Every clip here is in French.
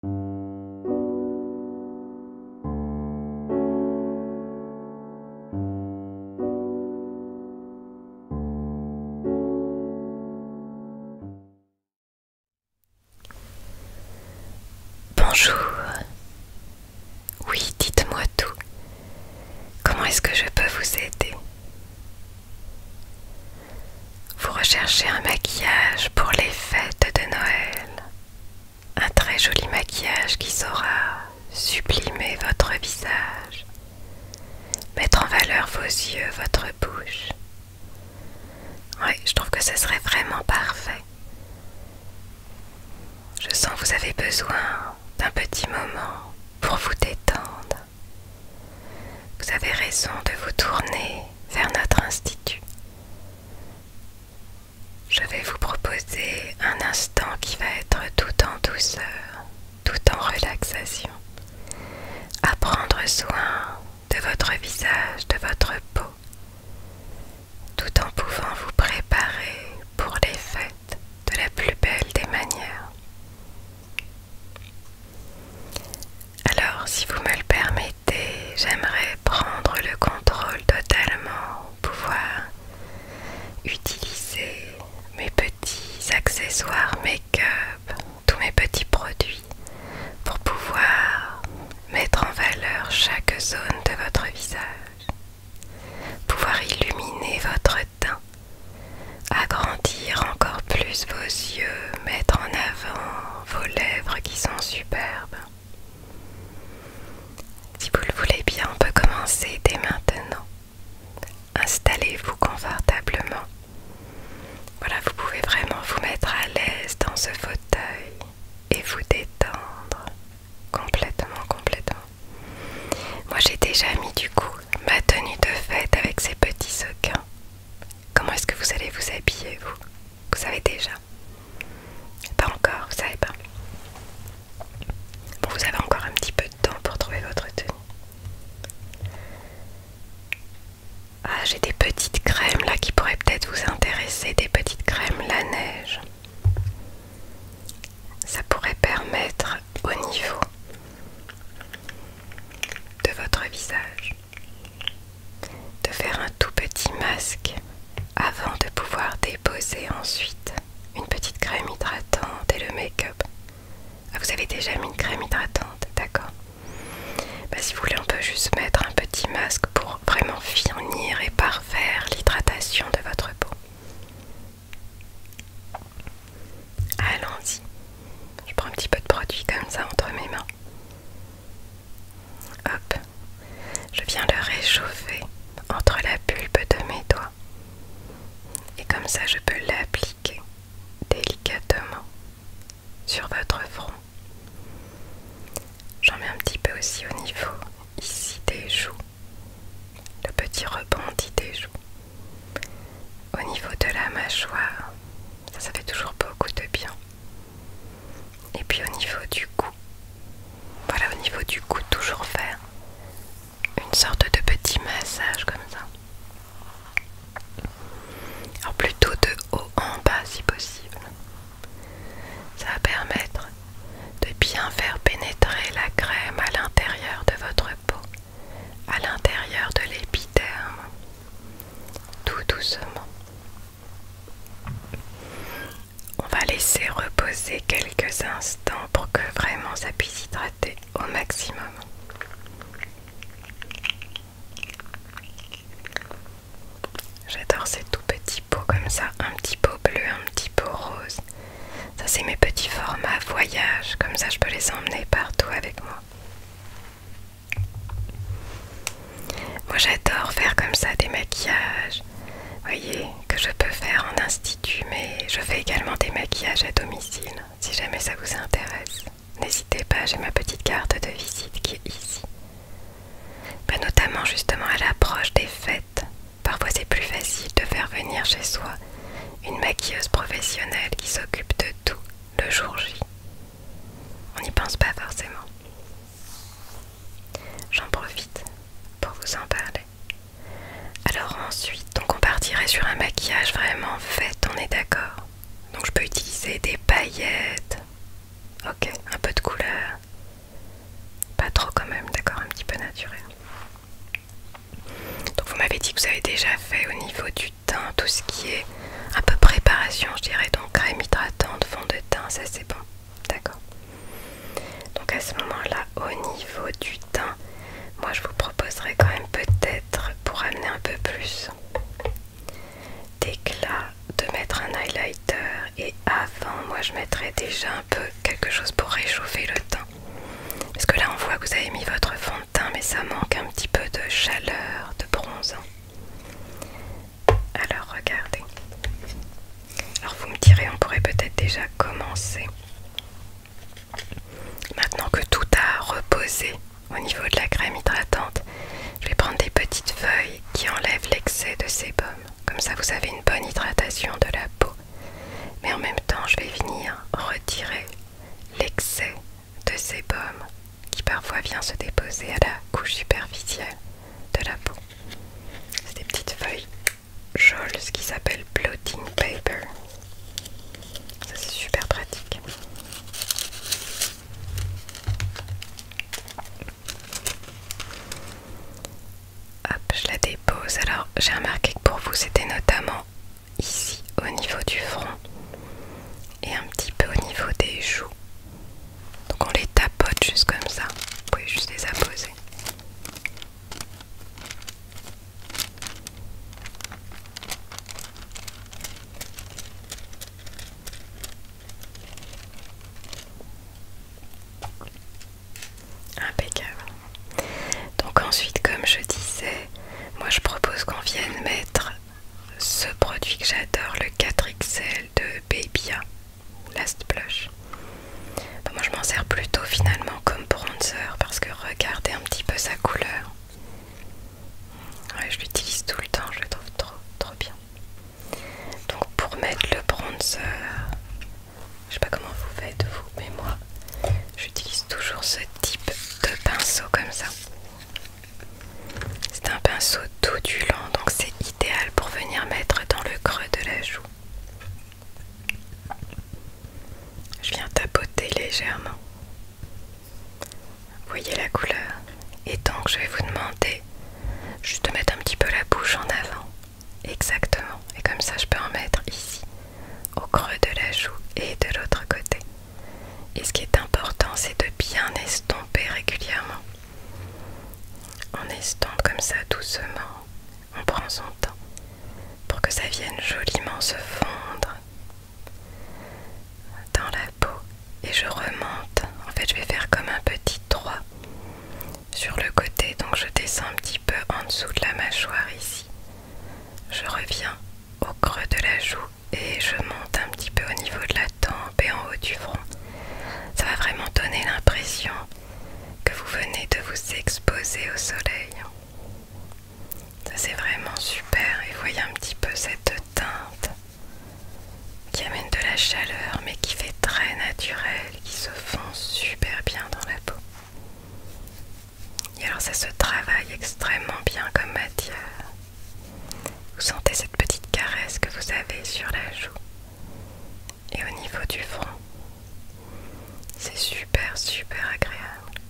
Bonjour. Oui, dites-moi tout. Comment est-ce que je peux vous aider vous recherchez un maquillage pour les fêtes de Noël. Un très joli maquillage qui saura sublimer votre visage, mettre en valeur vos yeux, votre bouche. Oui, je trouve que ce serait vraiment parfait. Je sens que vous avez besoin d'un petit moment pour vous détendre. Vous avez raison de vous tourner vers notre institut. Je vais vous proposer un instant qui va être tout en douceur, tout en relaxation. À prendre soin de votre visage, de votre peau, tout en pouvant vous préparer pour les fêtes de la plus belle des manières. Alors, si vous me le permettez, j'aimerais prendre le contrôle totalement, pouvoir utiliser mes petits accessoires make-up, tous mes petits produits, pour pouvoir mettre en valeur chaque zone de votre visage, pouvoir illuminer votre teint, agrandir encore plus vos yeux, mettre en avant vos lèvres qui sont superbes. Si vous le voulez bien, on peut commencer dès maintenant. Installez-vous confortablement. Voilà, vous pouvez vraiment vous mettre à l'aise dans ce fauteuil et vous détendre complètement, complètement. Moi j'ai déjà mis du coup ma tenue de fête avec ces petits sequins. Comment est-ce que vous allez vous habiller vous vous savez déjà Pas encore, vous savez pas. Bon, vous avez encore un petit peu de temps pour trouver votre tenue. Ah, j'ai des petites crèmes là qui pourraient peut-être vous intéresser. Des petites crèmes la neige. Ça pourrait permettre au niveau de votre visage de faire un tout petit masque avant de pouvoir déposer ensuite une petite crème hydratante et le make-up. Ah, vous avez déjà mis une crème hydratante, d'accord bah, Si vous voulez, on peut juste mettre un petit masque pour vraiment finir et parfaire l'hydratation de votre peau. Allons-y. Je prends un petit peu de produit comme ça entre mes mains. Hop, je viens le réchauffer entre la pulpe de mes doigts. Et comme ça, je peux l'appliquer délicatement sur votre front. J'en mets un petit peu aussi au niveau ici des joues, le petit rebondi des joues. Au niveau de la mâchoire, ça fait toujours beaucoup de bien. Et puis au niveau du cou, voilà au niveau du cou toujours faire une sorte de petit massage comme ça. Alors plutôt de haut en bas si possible. Ça va permettre de bien faire pénétrer la crème à l'intérieur de votre peau, à l'intérieur de l'épiderme, tout doucement. On va laisser reposer quelques instants pour que vraiment ça puisse hydrater au maximum. J'adore ces tout petits pots comme ça, un petit pot bleu, un petit pot rose. Ça c'est mes petits formats voyage, comme ça je peux les emmener partout avec moi. Moi j'adore faire comme ça des maquillages, voyez, que je peux faire en institut, mais je fais également des maquillages à domicile. Si jamais ça vous intéresse, n'hésitez pas, j'ai ma petite carte de visite qui est ici. Bah, notamment justement à l'approche des fêtes, parfois c'est plus facile de faire venir chez soi une maquilleuse professionnelle qui s'occupe de tout le jour J. On n'y pense pas forcément. J'en profite pour vous en parler. Alors ensuite, donc on partirait sur un maquillage vraiment fait, on est d'accord. Donc je peux utiliser des paillettes. Ok, un peu de couleur. Pas trop quand même, d'accord, un petit peu naturel. Donc vous m'avez dit que vous avez déjà fait au niveau du teint tout ce qui est un peu préparation, je dirais donc crème hydratante, fond de teint, ça c'est bon. D'accord. Donc à ce moment-là, au niveau du teint, moi je vous proposerais quand même peut-être pour amener un peu plus d'éclat de mettre un highlighter et avant moi je mettrais déjà un peu quelque chose pour réchauffer le teint. Parce que là on voit que vous avez mis votre fond de teint mais ça manque un petit peu de chaleur, de bronze. Alors regardez. Alors vous me direz, on pourrait peut-être déjà commencer. Maintenant que tout a reposé au niveau de la crème hydratante, je vais prendre des petites feuilles qui enlèvent l'excès de sébum. Comme ça, vous avez une bonne hydratation de la peau. Mais en même temps, je vais venir retirer l'excès de sébum qui parfois vient se déposer à la couche superficielle de la peau. C'est des petites feuilles jaunes, ce qui s'appelle blotting paper. Ça c'est super pratique. Hop, je la dépose. Alors j'ai remarqué que pour vous c'était notamment ici au niveau du front et un petit peu au niveau des joues donc on les tapote juste comme ça. Vous pouvez juste les apposer. Impeccable. Donc ensuite, comme je disais, moi je propose qu'on vienne mettre ce produit que j'adore, le 4XL de Babya hein. Last Blush. Bah, moi je m'en sers plutôt finalement comme bronzer parce que regardez un petit peu sa couleur. je l'utilise tout le temps, je le trouve trop trop bien. Donc pour mettre le bronzer, je sais pas comment vous faites vous, mais moi j'utilise toujours ce type de pinceau comme ça. C'est un pinceau tout du long, donc c'est idéal pour venir mettre dans le creux de la joue. Je viens tapoter légèrement. Vous voyez la couleur Et donc je vais vous demander juste de mettre un petit peu la bouche en avant. Exactement. Et comme ça je peux en mettre ici, au creux de la joue et de l'autre côté. Et ce qui est important, c'est de bien estomper régulièrement. On estompe comme ça doucement, on prend son temps pour que ça vienne joliment se fondre dans la peau et je remonte. En fait, je vais faire comme un petit droit sur le côté, donc je descends un petit peu en dessous de la mâchoire ici. Je reviens au creux de la joue et je monte un petit peu au niveau de la tempe et en haut du front. Ça va vraiment donner l'impression que vous venez de vous exposer au soleil. c'est vraiment super et voyez un petit peu cette teinte qui amène de la chaleur mais qui fait très naturel, qui se fond super bien dans la peau. Et alors ça se travaille extrêmement bien comme matière. Vous sentez cette petite caresse que vous avez sur la joue et au niveau du front. C'est super super agréable.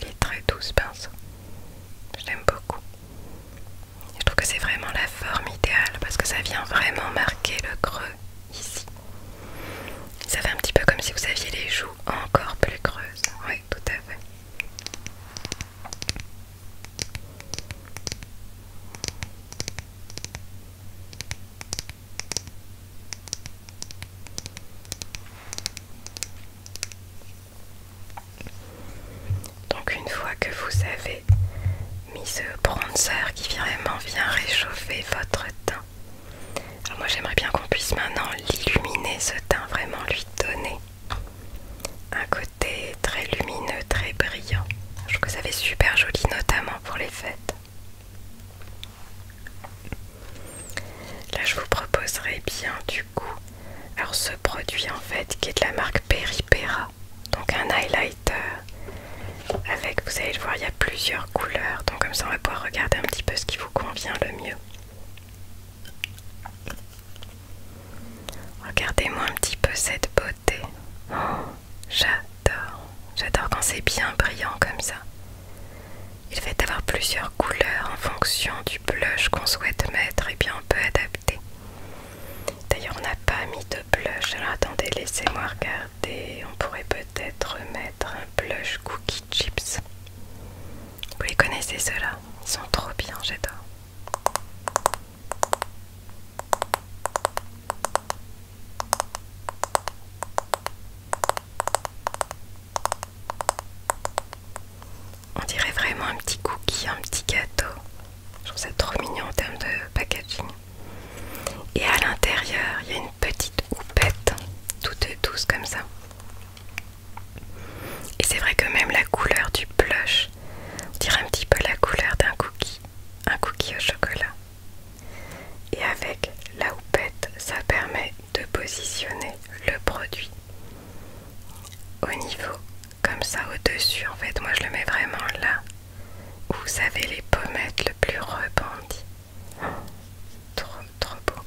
Il est très doux ce pinceau. Je l'aime beaucoup. Je trouve que c'est vraiment la forme idéale parce que ça vient vraiment marquer le creux ici. Ça fait un petit peu comme si vous aviez les joues encore plus creuses. Oui, tout à fait. Donc une fois que vous avez mis ce bronzer qui vraiment vient réchauffer votre teint. moi j'aimerais bien qu'on puisse maintenant l'illuminer ce teint, vraiment lui donner un côté très lumineux, très brillant. Je trouve que ça fait super joli, notamment pour les fêtes. Là, je vous proposerai bien du coup, alors ce produit en fait qui est de la marque Peripera, donc un highlighter avec, vous allez le voir, il y a plusieurs couleurs, donc comme ça on va pouvoir regarder un petit peu ce qui vous convient le mieux. Regardez-moi un petit peu cette beauté. Oh, j'adore. J'adore quand c'est bien brillant comme ça. Il fait avoir plusieurs couleurs en fonction du blush qu'on souhaite mettre et bien on peut adapter. D'ailleurs on n'a pas mis de blush, alors attendez, laissez-moi regarder. On pourrait peut-être mettre un blush cookie chips. Vous les connaissez ceux-là Ils sont trop bien, j'adore. On dirait vraiment un petit cookie, un petit gâteau. Je trouve ça trop mignon en termes de packaging. Et à l'intérieur, il y a une petite houppette, toute douce comme ça. Et c'est vrai que même la couleur du blush on dirait un petit peu la couleur d'un cookie, un cookie au chocolat. Et avec la houppette, ça permet de positionner le produit au niveau, comme ça au-dessus. En fait, moi je le mets vraiment là où vous avez les pommettes le plus rebondies trop, trop beau.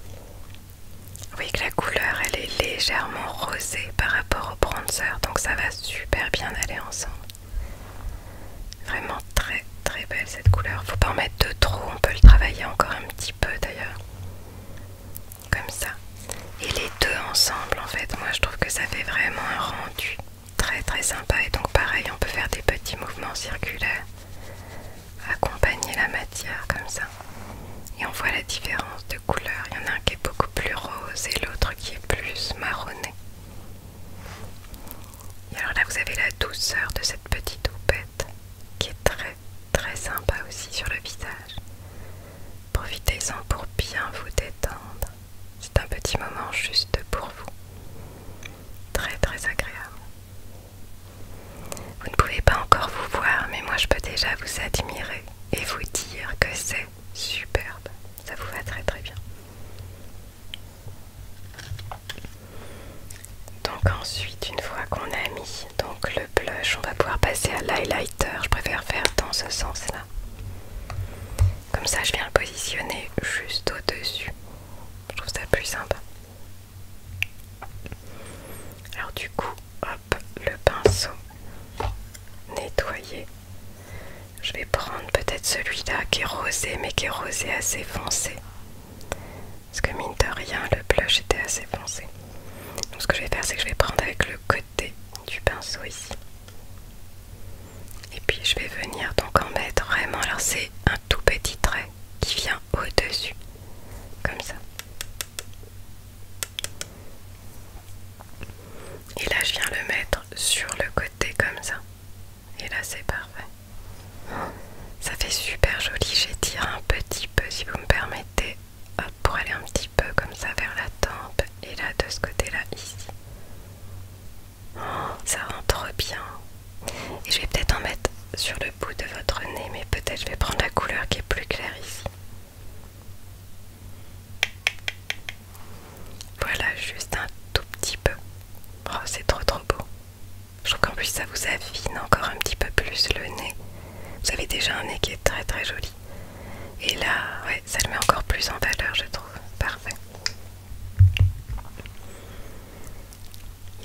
Vous voyez que la couleur elle est légèrement rosée par rapport au bronzer, donc ça va super bien aller ensemble. Vraiment très très belle cette couleur. Faut pas en mettre de trop, on peut le travailler encore un petit peu d'ailleurs. Comme ça. Et les deux ensemble en fait, moi je trouve que ça fait vraiment un rendu très très sympa. Et donc pareil, on peut faire des petits mouvements circulaires, accompagner la matière comme ça. Et on voit la différence de couleur. Il y en a un qui est beaucoup plus rose et l'autre qui est plus marronné. Et alors là, vous avez la douceur de cette petite houppette qui est très très sympa aussi sur le visage. Profitez-en pour bien vous détendre. C'est un petit moment juste pour vous. Très très agréable. Vous ne pouvez pas encore vous voir, mais moi je peux déjà vous admirer et vous dire que c'est Superbe, ça vous va très très bien. Donc ensuite, une fois qu'on a mis donc le blush, on va pouvoir passer à l'highlighter. Je préfère faire dans ce sens-là. Comme ça, je viens le positionner juste au-dessus. Je trouve ça plus sympa. Alors du coup, hop, le pinceau, nettoyer. Je vais prendre peut-être celui-là qui est rosé, mais qui est rosé assez foncé. Parce que mine de rien, le blush était assez foncé. Donc ce que je vais faire, c'est que je vais prendre avec le côté du pinceau ici. Et puis je vais venir donc en mettre vraiment, alors c'est un tout petit trait qui vient au-dessus, comme ça. Et là, je viens le mettre sur le côté comme ça. Et là, c'est parfait. Ça fait super joli. J'étire un petit peu, si vous me permettez, pour aller un petit peu comme ça vers la tempe. Et là, de ce côté-là, ici. Oh, ça rentre bien. Et je vais peut-être en mettre sur le bout de votre nez, mais peut-être je vais prendre la couleur qui est plus claire ici. Voilà, juste un tout petit peu. Oh, c'est trop trop beau. Je trouve qu'en plus ça vous affine encore un petit peu plus le nez. Vous avez déjà un nez qui est très très joli. Et là, ouais, ça le met encore plus en valeur, je trouve. Parfait.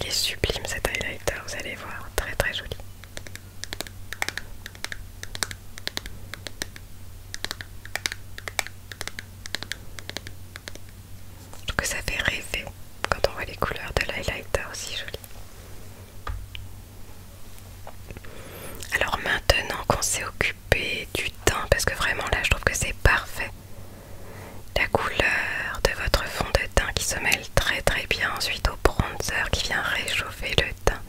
Il est sublime cet highlighter, vous allez voir, très très joli. Je trouve que ça fait rêver quand on voit les couleurs de l'highlighter aussi joli. Alors maintenant qu'on s'est occupé du teint, parce que vraiment là je trouve que c'est parfait. La couleur de votre fond de teint qui se mêle très très bien ensuite au bronzer qui vient réchauffer le teint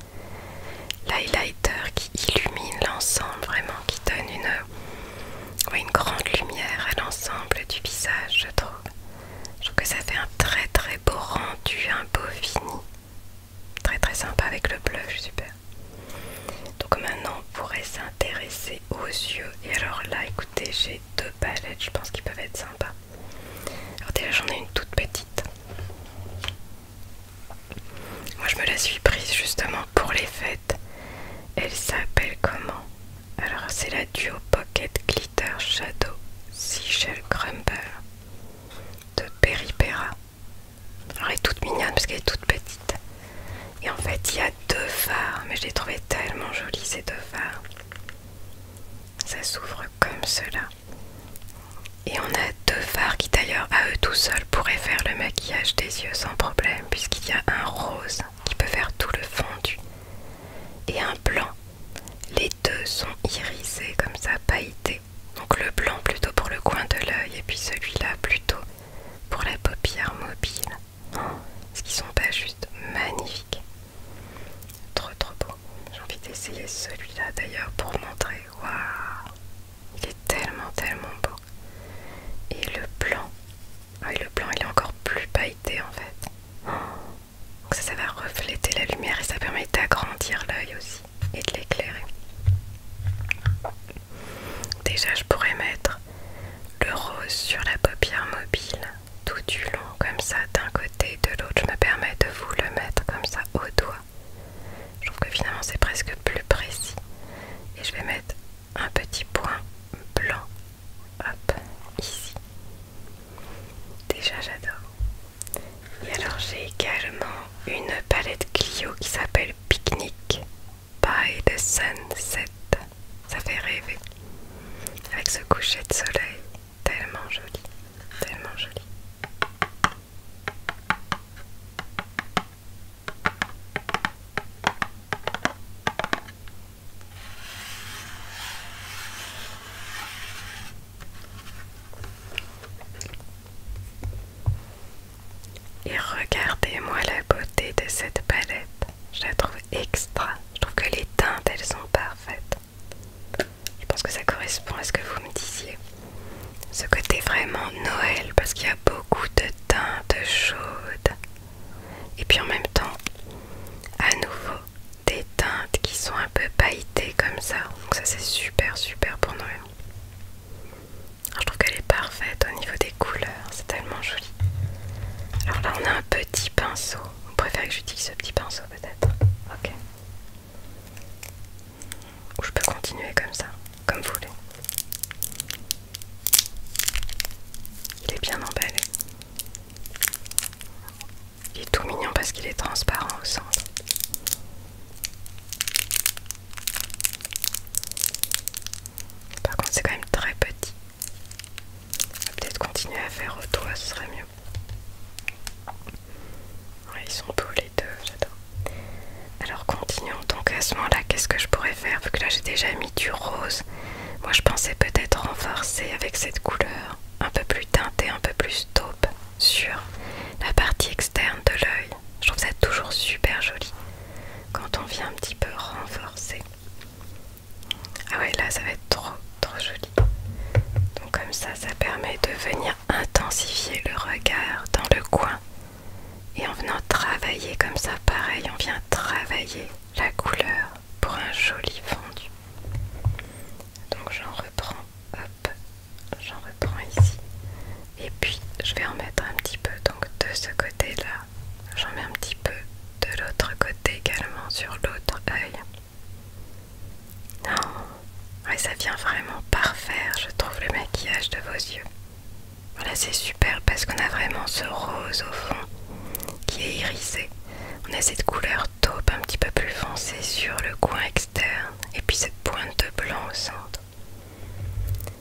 l'highlighter qui illumine l'ensemble, vraiment qui donne une, une grande lumière à l'ensemble du visage, je trouve. Je trouve que ça fait un très très beau rendu, un beau fini. Très très sympa avec le blush, super. Donc maintenant on pourrait s'intéresser aux yeux. Et alors là, écoutez, j'ai deux palettes, je pense qu'ils peuvent être sympas. Alors déjà j'en ai une toute petite. Moi je me la suis prise justement pour les fêtes. Elle s'appelle comment Alors c'est la Duo Pocket Glitter Shadow Seashell Crumble de Peripera. Alors elle est toute mignonne parce qu'elle est toute petite. Et en fait il y a deux phares, mais je les trouvais tellement jolies ces deux phares. Ça s'ouvre comme cela. Et on a deux fards qui d'ailleurs à eux tout seuls pourraient faire le maquillage des yeux sans problème puisqu'il y a un rose qui peut faire tout le fondu et un blanc. Les deux sont irisés comme ça, pailletés. Donc le blanc plutôt pour le coin de l'œil et puis celui-là plutôt pour la paupière mobile. Oh, ce qui sont pas juste magnifiques. Trop trop beau. J'ai envie d'essayer celui-là d'ailleurs pour montrer waouh, il est tellement tellement beau. Et le blanc, ah le blanc il est encore plus pailleté en fait. ça, ça va refléter la lumière et ça permet d'agrandir l'œil aussi et de l'éclairer. Déjà, je pourrais mettre le rose sur la paupière mobile tout du long, comme ça, d'un côté et de l'autre. Je me permets de vous le mettre comme ça au doigt. Je trouve que finalement c'est presque plus précis. Et je vais mettre un petit point blanc, hop, ici. Déjà j'adore. Et alors j'ai également une palette Clio qui s'appelle Picnic by the Sunset. Ça fait rêver. Avec ce coucher de soleil, tellement joli, tellement joli. Et regardez-moi la beauté de cette palette. Je la trouve extra. Je trouve que les teintes, elles sont parfaites. Je pense que ça correspond à ce que vous me disiez. Ce côté vraiment Noël parce qu'il y a beaucoup de teintes chaudes. Et puis en même temps, à nouveau, des teintes qui sont un peu pailletées comme ça. Donc ça c'est super super pour Noël. je trouve qu'elle est parfaite au niveau des couleurs. C'est tellement joli. Alors là on a un petit pinceau. Vous préférez que j'utilise ce petit pinceau peut-être Ok. Ou je peux continuer comme ça, comme vous voulez. Il est bien emballé. Il est tout mignon parce qu'il est transparent au centre. Par contre, c'est quand même très petit. On va peut-être continuer à faire au doigt, ce serait mieux. ils sont beaux euh, Alors continuons donc à ce moment-là, qu'est-ce que je pourrais faire Vu que là j'ai déjà mis du rose, moi je pensais peut-être renforcer avec cette couleur un peu plus teintée, un peu plus taupe sur la partie externe de l'œil. Je trouve ça toujours super joli quand on vient un petit peu renforcer. Ah ouais, là ça va être trop trop joli comme ça, ça permet de venir intensifier le regard dans le coin. Et en venant travailler comme ça, pareil, on vient travailler la couleur pour un joli fondu. Donc j'en reprends, hop, j'en reprends ici. Et puis je vais en mettre un petit peu donc de ce côté-là. J'en mets un petit peu de l'autre côté également sur l'autre œil. Non, mais ça vient vraiment parfaire, je trouve, le maquillage de vos yeux. Voilà, c'est super parce qu'on a vraiment ce rose au fond qui est irisé. On a cette couleur taupe un petit peu plus foncée sur le coin externe et puis cette pointe de blanc au centre.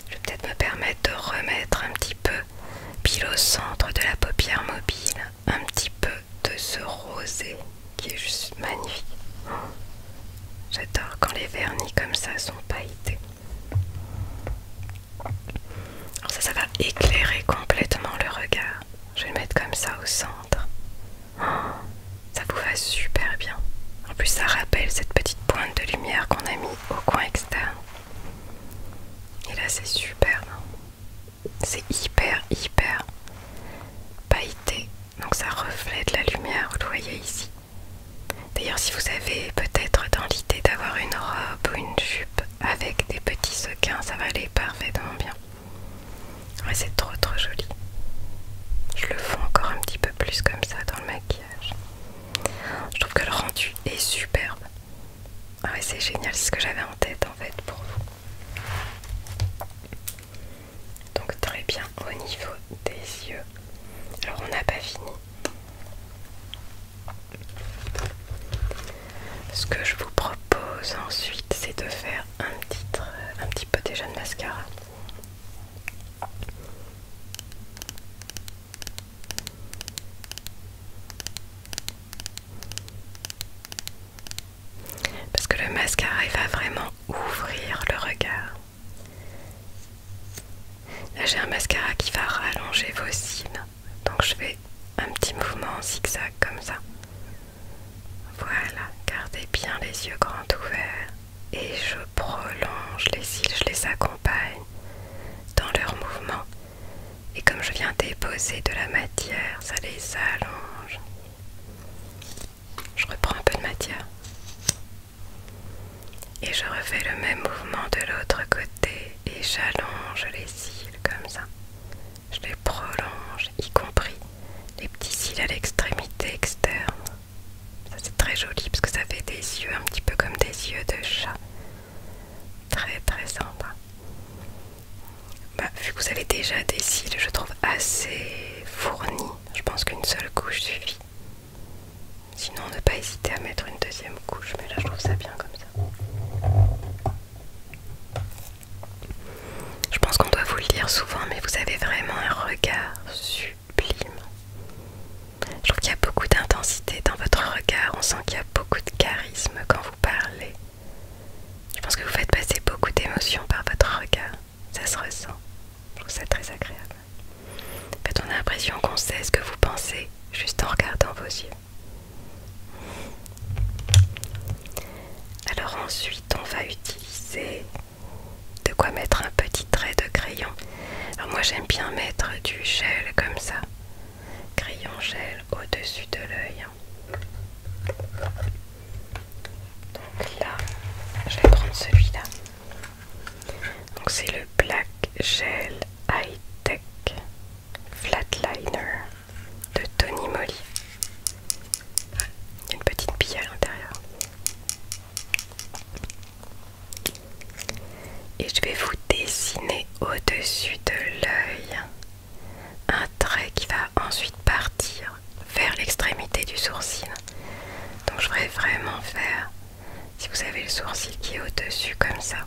Je vais peut-être me permettre de remettre un petit peu pile au centre de la paupière mobile, un petit peu de ce rosé qui est juste magnifique. J'adore quand les vernis comme ça sont pailletés. Alors ça, ça va éclairer complètement le regard. Je vais le mettre comme ça au centre. ça vous va super bien. En plus, ça rappelle cette petite pointe de lumière qu'on a mis au coin externe. Et là, c'est super. Hein. C'est hyper, hyper pailleté donc ça reflète la lumière, vous le voyez ici. D'ailleurs, si vous avez peut-être dans l'idée d'avoir une robe ou une jupe avec des petits sequins, ça va aller parfaitement bien. Ouais, c'est trop trop joli. Je le fais encore un petit peu plus comme ça dans le maquillage. Je trouve que le rendu est superbe. Ah ouais, c'est génial, c'est ce que j'avais en tête en fait pour vous donc très bien au niveau des yeux alors on n'a pas fini ce que je vous propose ensuite c'est de faire un petit, euh, un petit peu déjà de mascara parce que le mascara il va vraiment ouvrir le regard. Là j'ai un mascara qui va rallonger vos cils, donc je fais un petit mouvement en zigzag comme ça. Voilà, gardez bien les yeux grands ouverts et je prolonge les cils, je les accompagne dans leur mouvement. Et comme je viens déposer de la matière, ça les allonge. Je reprends un peu de matière. Et je refais le même mouvement de l'autre côté et j'allonge les cils comme ça. Je les prolonge, y compris les petits cils à l'extrémité externe. Ça c'est très joli parce que ça fait des yeux un petit peu comme des yeux de chat. Très très sympa. Bah, vu que vous avez déjà des cils, je trouve assez fournis je pense qu'une seule couche suffit. Sinon, ne pas hésiter à mettre une deuxième couche, mais là je trouve ça bien comme ça. Je pense qu'on doit vous le dire souvent, mais vous avez vraiment un regard sublime. Je trouve qu'il y a beaucoup d'intensité dans votre regard, on sent qu'il y a beaucoup de charisme quand vous parlez. Je pense que vous faites passer beaucoup d'émotions par votre regard ça se ressent. Je trouve ça très agréable. En fait, on a l'impression qu'on sait ce que vous pensez juste en regardant vos yeux. Alors ensuite, on va utiliser de quoi mettre un petit trait de crayon. Alors moi, j'aime bien mettre du gel comme ça. Crayon gel au-dessus de l'œil. Donc là, je vais prendre celui-là. Donc c'est le Black Gel High Tech Flatliner de Tony Moly. Il y a une petite bille à l'intérieur. Et je vais vous dessiner au-dessus de l'œil un trait qui va ensuite partir vers l'extrémité du sourcil. Donc je vais vraiment faire, si vous avez le sourcil qui est au-dessus comme ça,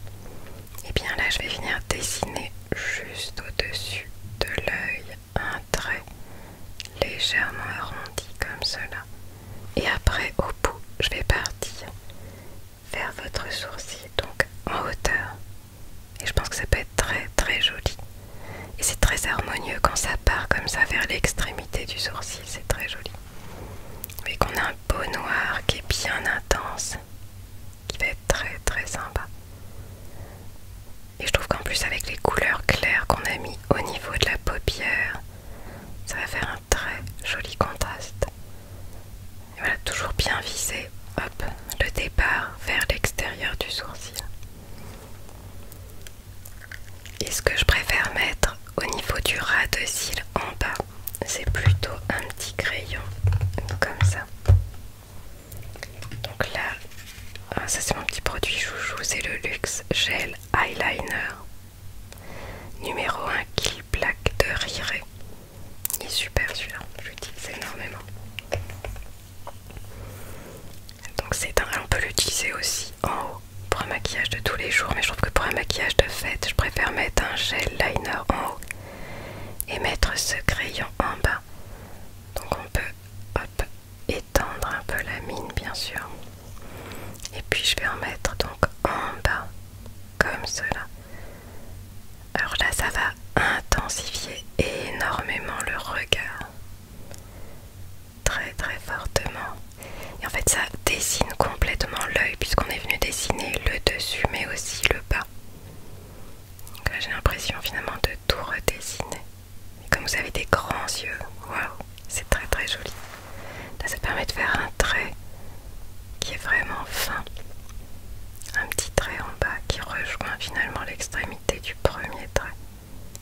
et eh bien là je vais venir dessiner juste au-dessus de l'œil un trait légèrement arrondi comme cela. Et après au bout, je vais partir vers votre sourcil, donc en hauteur. Et je pense que ça peut être très très joli. Et c'est très harmonieux quand ça part comme ça vers l'extrémité du sourcil, c'est très joli. Mais qu'on a un beau noir qui est bien intense, qui va être très très sympa. Et je trouve qu'en plus avec les couleurs claires qu'on a mis au niveau de la paupière, ça va faire un très joli contraste. Et voilà, toujours bien visé, hop, le départ vers l'extérieur du sourcil. Et ce que je préfère mettre au niveau du ras de cils en bas, c'est plutôt un petit crayon comme ça. Donc là, ah, ça c'est mon petit produit chouchou, c'est le Luxe Gel Eyeliner numéro 1 Kill Black de Rire. Il est super celui-là, je l'utilise énormément. Donc c'est un, on peut l'utiliser aussi en haut pour un maquillage de tous les jours, mais je trouve que pour un maquillage de fête, je préfère mettre un gel liner en haut et mettre ce crayon en bas. Donc on peut étendre un peu la mine bien sûr. Et puis je vais en mettre donc en bas comme cela. Alors là ça va intensifier énormément le regard très très fortement. Et en fait ça dessine complètement l'œil puisqu'on est venu dessiner le dessus mais aussi le bas. Donc là j'ai l'impression finalement de tout redessiner. comme vous avez des grands yeux, waouh, c'est très très joli. Là ça permet de faire un trait qui est vraiment fin. Un petit trait en bas qui rejoint finalement l'extrémité du premier trait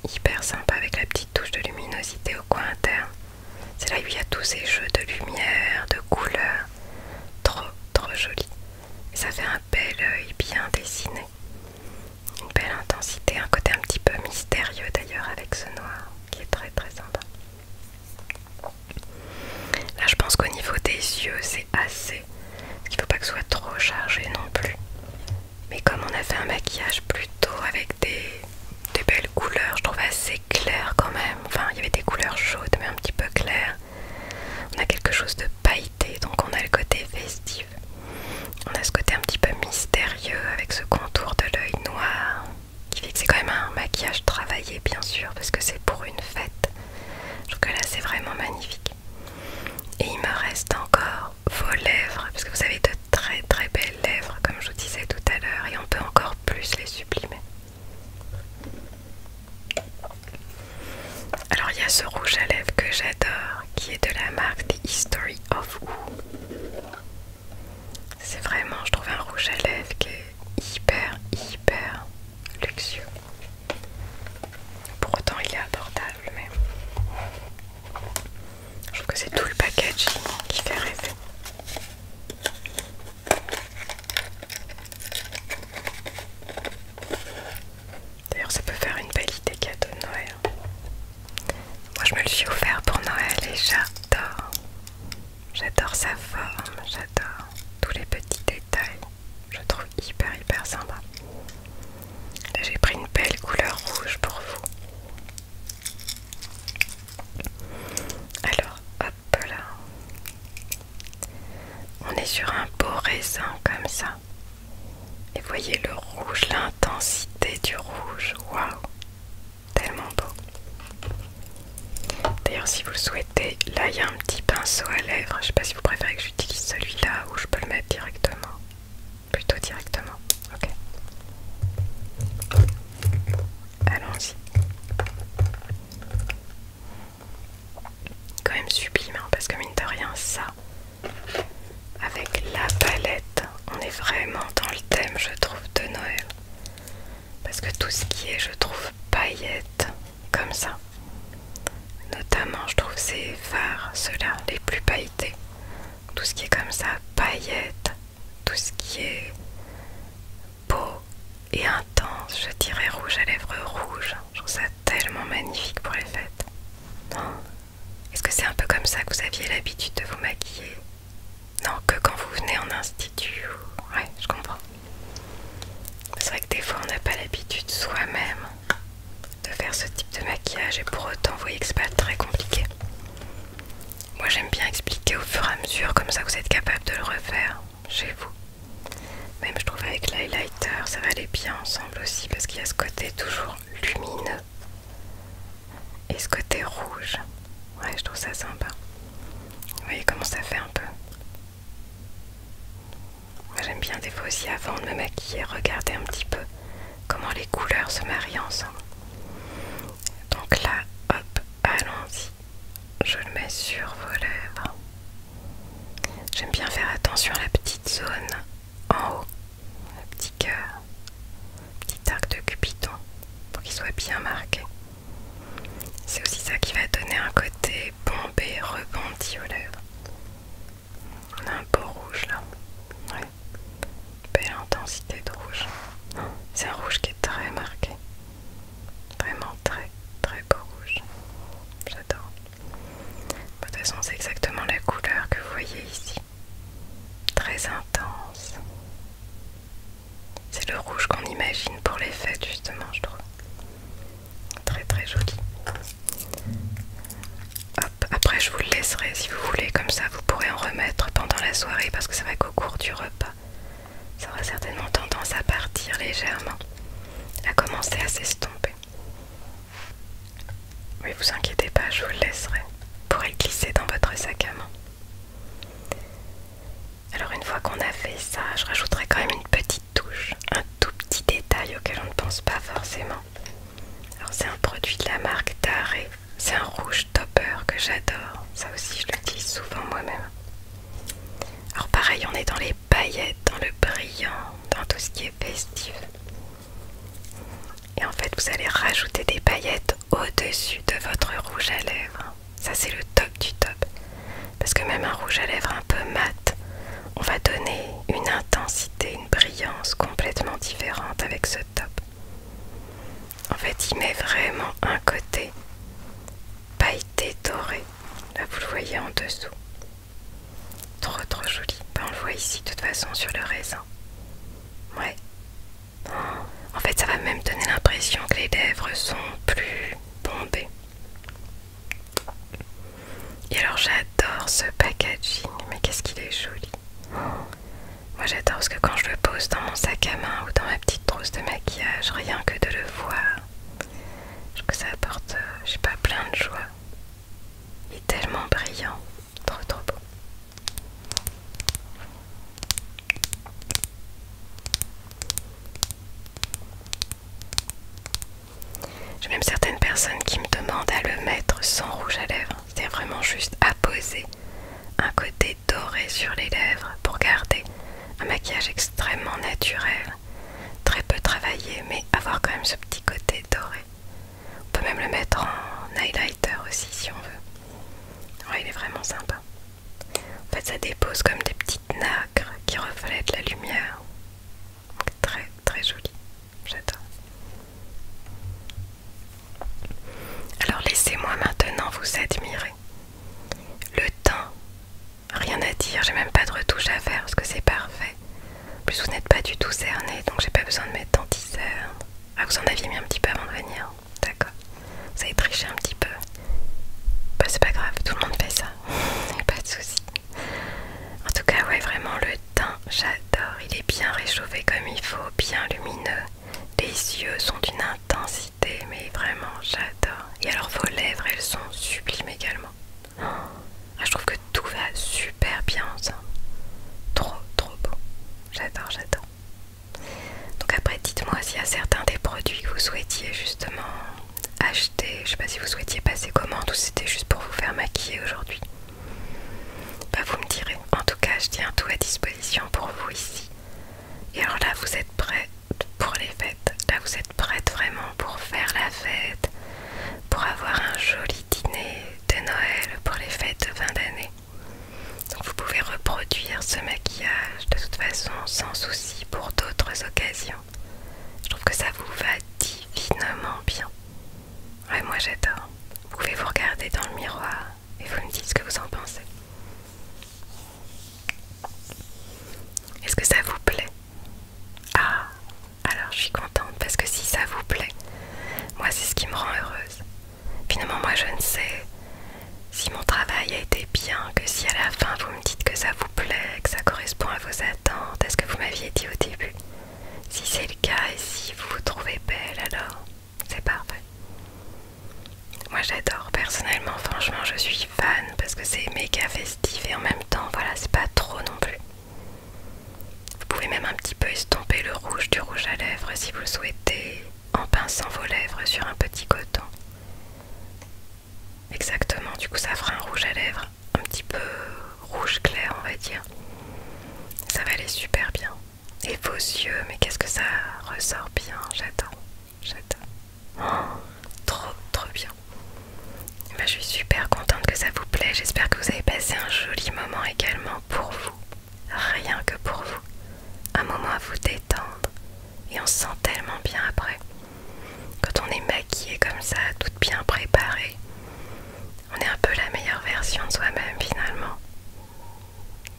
hyper sympa avec la petite touche de luminosité au coin interne. C'est là où il y a tous ces jeux de lumière, de couleurs. Trop, trop joli. Ça fait un bel œil bien dessiné. Une belle intensité, un côté un petit peu mystérieux d'ailleurs avec ce noir qui est très très sympa. Là je pense qu'au niveau des yeux c'est assez. Parce qu'il ne faut pas que ce soit trop chargé non plus mais comme on a fait un maquillage plutôt avec des, belles couleurs, je trouve assez clair quand même. Enfin, il y avait des couleurs chaudes, mais un petit peu claires. On a quelque chose de pailleté, donc on a le côté festif. On a ce côté un petit peu mystérieux avec ce contour de l'œil noir, qui fait que c'est quand même un maquillage travaillé, bien sûr, parce que c'est pour une fête. Je trouve que là, c'est vraiment magnifique. Et il me reste encore vos lèvres, parce que vous avez de très très belles lèvres, comme je vous disais tout à l'heure, et on peut encore plus les sublimer. Alors il y a ce rouge à lèvres que j'adore, qui est de la marque The History of Who. C'est vraiment, je trouve un rouge à lèvres qui est hyper hyper luxueux. Pour autant il est abordable mais... Je trouve que c'est tout le packaging qui fait rêver. D'ailleurs, ça peut faire une belle idée cadeau de Noël. Moi, je me le suis offert pour Noël et j'adore. J'adore sa forme, j'adore tous les petits détails. Je trouve hyper, hyper sympa. Là, J'ai pris une belle couleur rouge pour vous. Alors, hop là. On est sur un beau raisin comme ça. Et voyez le rouge, l'intensité du rouge. Waouh Tellement beau. D'ailleurs, si vous le souhaitez, là il y a un petit pinceau à lèvres. Je sais pas si vous préférez que j'utilise celui-là ou je peux le mettre directement plutôt directement. Ok. Allons-y. Quand même sublime, hein, parce que mine de rien, ça, avec la palette, on est vraiment dans le thème, je trouve, de Noël. Parce que tout ce qui est, je trouve, paillettes, comme ça. Notamment, je trouve ces phares, ceux-là, les plus pailletés tout ce qui est comme ça, paillettes, tout ce qui est beau et intense, je dirais rouge à lèvres rouge. Je trouve ça tellement magnifique pour les fêtes. Est-ce que c'est un peu comme ça que vous aviez l'habitude de vous maquiller Non, que quand vous venez en institut. Ouais, je comprends. C'est vrai que des fois on n'a pas l'habitude soi-même de faire ce type de maquillage et pour autant vous voyez que c'est pas très compliqué. Moi j'aime bien expliquer au fur et à mesure comme ça vous êtes capable de le refaire chez vous. Même je trouve avec l'highlighter ça va aller bien ensemble aussi parce qu'il y a ce côté toujours lumineux et ce côté rouge. Ouais je trouve ça sympa. Vous voyez comment ça fait un peu. Moi j'aime bien des fois aussi avant de me maquiller regarder un petit peu comment les couleurs se marient ensemble. Donc là, hop, allons-y. Je le mets sur vos lèvres. J'aime bien faire attention à la petite zone en haut, le petit cœur, petit arc de Cupidon, pour qu'il soit bien marqué. C'est aussi ça qui va donner un côté bombé, rebondi aux lèvres. On a un beau rouge là. Belle intensité de rouge. C'est un rouge qui est très marqué. Vraiment très très beau rouge. J'adore. De toute façon, c'est exactement la couleur que vous voyez ici. Très intense. C'est le rouge qu'on imagine pour les fêtes justement, je trouve. Très très joli. Hop après je vous le laisserai si vous voulez, comme ça vous pourrez en remettre pendant la soirée parce que c'est vrai qu'au cours du repas, ça aura certainement tendance à partir légèrement, à commencer à s'estomper. Mais vous inquiétez pas, je vous le laisserai pour le glisser dans votre sac à main. Alors une fois qu'on a fait ça, je rajouterai quand même une petite touche, un tout petit détail auquel on ne pense pas forcément, alors c'est un produit de la marque Taré. C'est un rouge topper que j'adore. Ça aussi je le dis souvent moi-même. Alors pareil, on est dans les paillettes, dans le brillant, dans tout ce qui est festif. Et en fait, vous allez rajouter des paillettes au-dessus de votre rouge à lèvres. Ça c'est le top du top. Parce que même un rouge à lèvres un peu mat, on va donner une intensité, brillance complètement différente avec ce top. En fait, il met vraiment un côté pailleté doré. Là, vous le voyez en dessous. Trop trop joli. Ben, on le voit ici de toute façon sur le raisin. Ouais. En fait, ça va même donner l'impression que les lèvres sont plus bombées. Et alors, j'adore ce packaging. Mais qu'est-ce qu'il est joli. Moi j'adore parce que quand je le pose dans mon sac à main ou dans ma petite trousse de maquillage, rien que de le voir, je trouve que ça apporte, euh, je sais pas, plein de joie. Il est tellement brillant, trop trop beau. J'ai même certaines personnes qui me demandent à le mettre sans rouge à lèvres. C'est vraiment juste à poser un côté doré sur les lèvres pour garder un maquillage extrêmement naturel, très peu travaillé, mais avoir quand même ce petit côté doré. On peut même le mettre en highlighter aussi si on veut. Ouais, il est vraiment sympa. En fait, ça dépose comme des petites nacres qui reflètent la lumière. très très joli. J'adore. Alors laissez-moi maintenant vous admirer. Le teint, rien à dire, j'ai même pas de retouche à faire parce que c'est parfait. plus vous n'êtes pas du tout cerné, donc j'ai pas besoin de mettre d'anticerne. Ah vous en aviez mis un petit peu avant de venir, d'accord. Vous avez triché un petit peu. Bah c'est pas grave, tout le monde fait ça, pas de soucis. En tout cas ouais vraiment le j'adore, il est bien réchauffé comme il faut, bien lumineux. Les yeux sont d'une intensité, mais vraiment, j'adore. Et alors vos lèvres, elles sont sublimes également. Ah, je trouve que tout va super bien ensemble. Trop, trop beau. J'adore, j'adore. Donc après, dites-moi s'il y a certains des produits que vous souhaitiez justement acheter. Je sais pas si vous souhaitiez passer commande ou c'était juste pour vous faire maquiller aujourd'hui. Bah vous me direz. En tout cas, je tiens tout à disposition pour vous ici. Et alors là, vous êtes prête pour les fêtes. Là, vous êtes prête vraiment pour faire la fête, pour avoir un joli dîner de Noël pour les fêtes de fin d'année. Donc vous pouvez reproduire ce maquillage de toute façon sans souci pour d'autres occasions. Je trouve que ça vous va divinement bien. Ouais, moi j'adore. Vous pouvez vous regarder dans le miroir et vous me dites ce que vous en pensez. Est-ce que ça vous plaît Ah, alors je suis contente parce que si ça vous plaît, moi c'est ce qui me rend heureuse. Finalement, moi je ne sais si mon travail a été bien, que si à la fin vous me dites que ça vous plaît, que ça correspond à vos attentes, est ce que vous m'aviez dit au début. Si c'est le cas et si vous vous trouvez belle, alors c'est parfait. Moi j'adore personnellement, franchement je suis fan parce que c'est méga festif et en même temps voilà c'est pas trop non plus. Vous pouvez même un petit peu estomper le rouge du rouge à lèvres si vous le souhaitez en pinçant vos lèvres sur un petit coton. Exactement, du coup ça fera un rouge à lèvres un petit peu rouge clair, on va dire. Ça va aller super bien. Et vos yeux, mais qu'est-ce que ça ressort bien, j'adore, j'adore. Oh, trop, trop bien. Bah, je suis super contente que ça vous plaît. J'espère que vous avez passé un joli moment également pour vous. Rien que pour vous. Un moment à vous détendre. Et on se sent tellement bien après. Quand on est maquillé comme ça, tout bien préparée. On est un peu la meilleure version de soi-même finalement.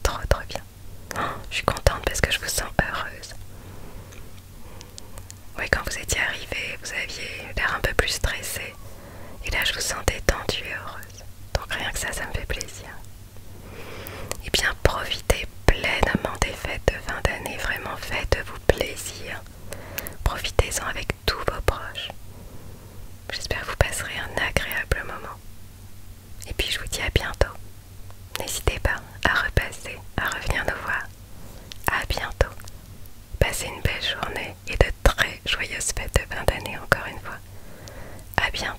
Trop trop bien. Oh, je suis contente parce que je vous sens heureuse. Oui, quand vous étiez arrivé, vous aviez l'air un peu plus stressé. Et là, je vous sens détendue et heureuse. Donc rien que ça, ça me fait plaisir. Et eh bien, profitez pleinement des fêtes de fin d'année. Vraiment, faites-vous plaisir. Profitez-en avec tous vos proches. J'espère que vous passerez un agréable moment. Et puis je vous dis à bientôt. N'hésitez pas à repasser, à revenir nous voir. À bientôt. Passez une belle journée et de très joyeuses fêtes de fin d'année encore une fois. À bientôt.